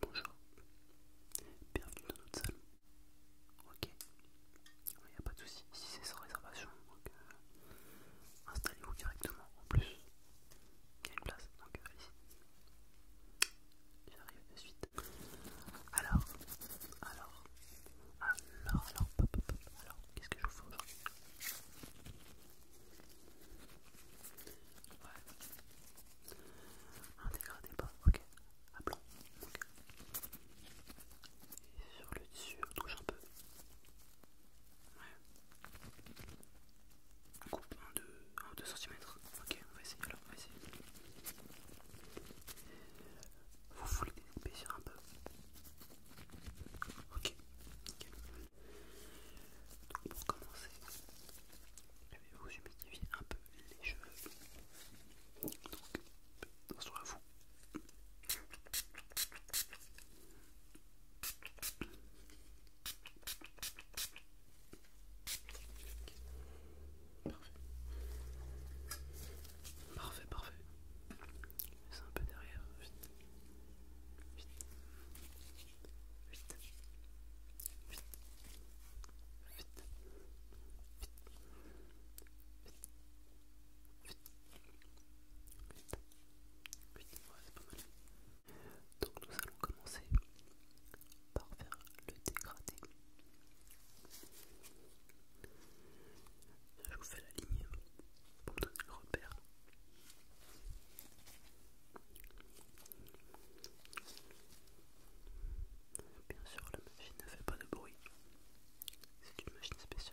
Bonjour, bienvenue dans notre salle. Ok, il n'y a pas de soucis, si c'est sans réservation, euh, installez-vous directement. En plus, il y a une place, donc euh, allez-y. J'arrive de suite. Alors, alors, alors, alors, alors, qu'est-ce que je vous fais aujourd'hui Ouais. Un dégradé pas, ok. À blanc, ok. Et sur le dessus, on touche un peu. Ouais. On coupe en 2 2 cm. Ok, on va essayer alors, on va essayer. Vous voulez sur un peu. Ok, ok. Donc pour commencer, je vais vous humidifier un peu les cheveux. Donc, attention à vous. Parfait, parfait, parfait. C'est un peu derrière. Vite. Vite donc nous allons commencer par faire le dégradé je vous fais la ligne pour donner le repère. Bien sûr, la machine ne fait pas de bruit. C'est une machine spéciale.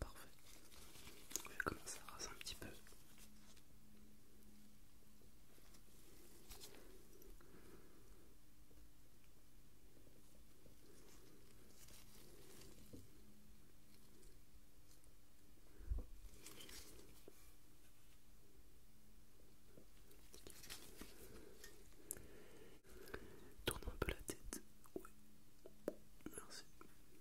Parfait. on va commencer à raser un petit peu. Tourne un peu la tête. Oui, Merci.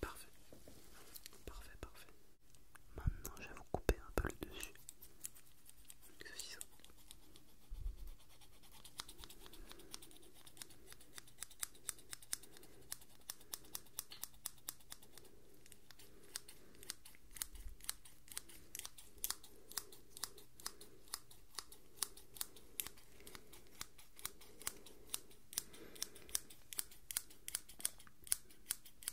Parfait, parfait, parfait. Maintenant, je vais vous couper un peu le dessus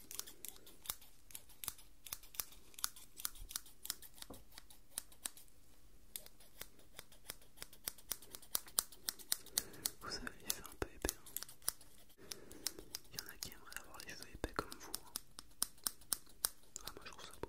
Vous avez les cheveux un peu épais. Hein. Il y en a qui aimeraient avoir les cheveux épais comme vous. Hein. Ah, moi je trouve ça beau.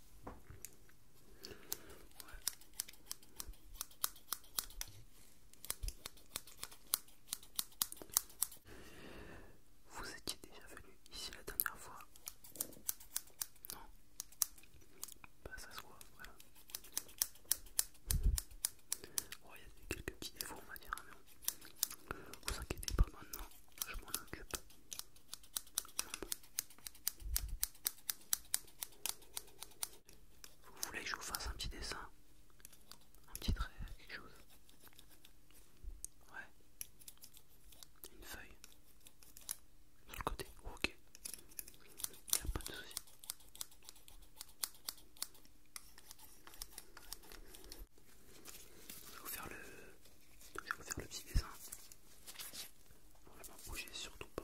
Vous étiez déjà venu ici la dernière fois Non Bah ça se voit, voilà. il y a eu quelques petits défauts, on va dire, hein, mais Vous inquiétez pas maintenant, je m'en occupe. Vous voulez que je vous fasse un petit dessin Un petit trait, quelque chose Ouais. Une feuille. Sur le côté. ok. Il n'y a pas de soucis. je vais vous faire le petit dessin. Ne bougez surtout pas.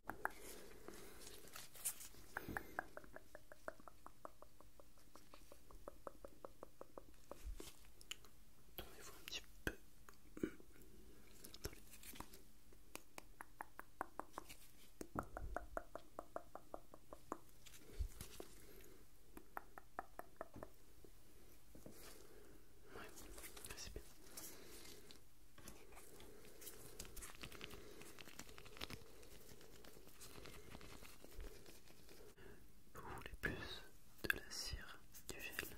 Tournez-vous un petit peu. Oui, c'est bien. Vous voulez plus de la cire, du gel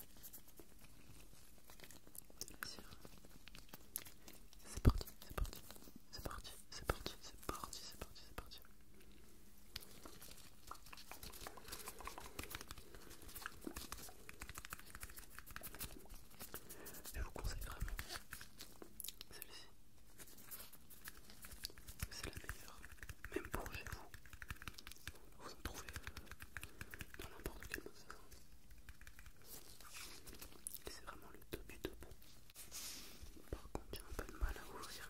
C'est parti, c'est parti, c'est parti, c'est parti, c'est parti, c'est parti, c'est parti. Je vous conseille vraiment celui ci C'est la meilleure, même pour chez vous. Vous en trouvez dans n'importe quel magasin. Et c'est vraiment le top du top. Par contre, j'ai un peu de mal à ouvrir.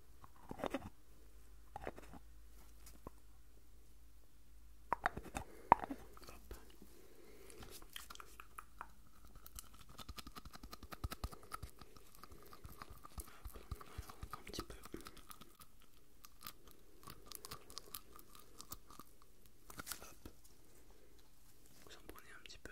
un petit peu. Hop. Vous en prenez un petit peu.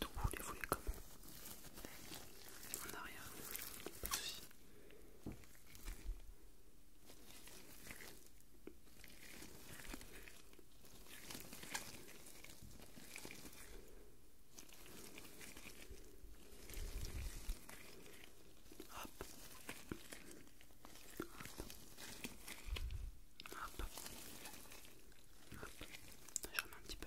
Donc vous les voulez comment En arrière, Hop. Hop. Hop. Hop. J'en remets un petit peu.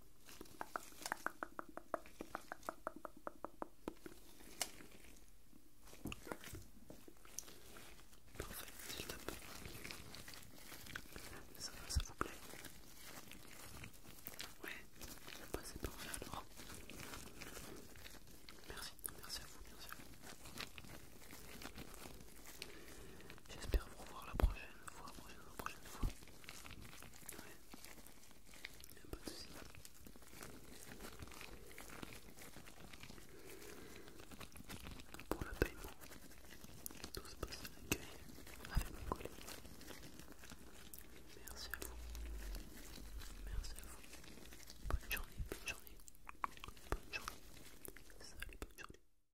Parfait, c'est le top. Ça va, ça vous plaît Ouais, je vais c'est par là alors. Merci, merci à vous, merci à vous. J'espère vous revoir la prochaine prochaine fois, prochaine, prochaine fois. Ouais. Il a pas de soucis. Pour le paiement, tout se passe à l'accueil avec mon colis, Merci à vous. Merci à vous. Bonne journée, bonne journée. Bonne journée. Salut, bonne journée.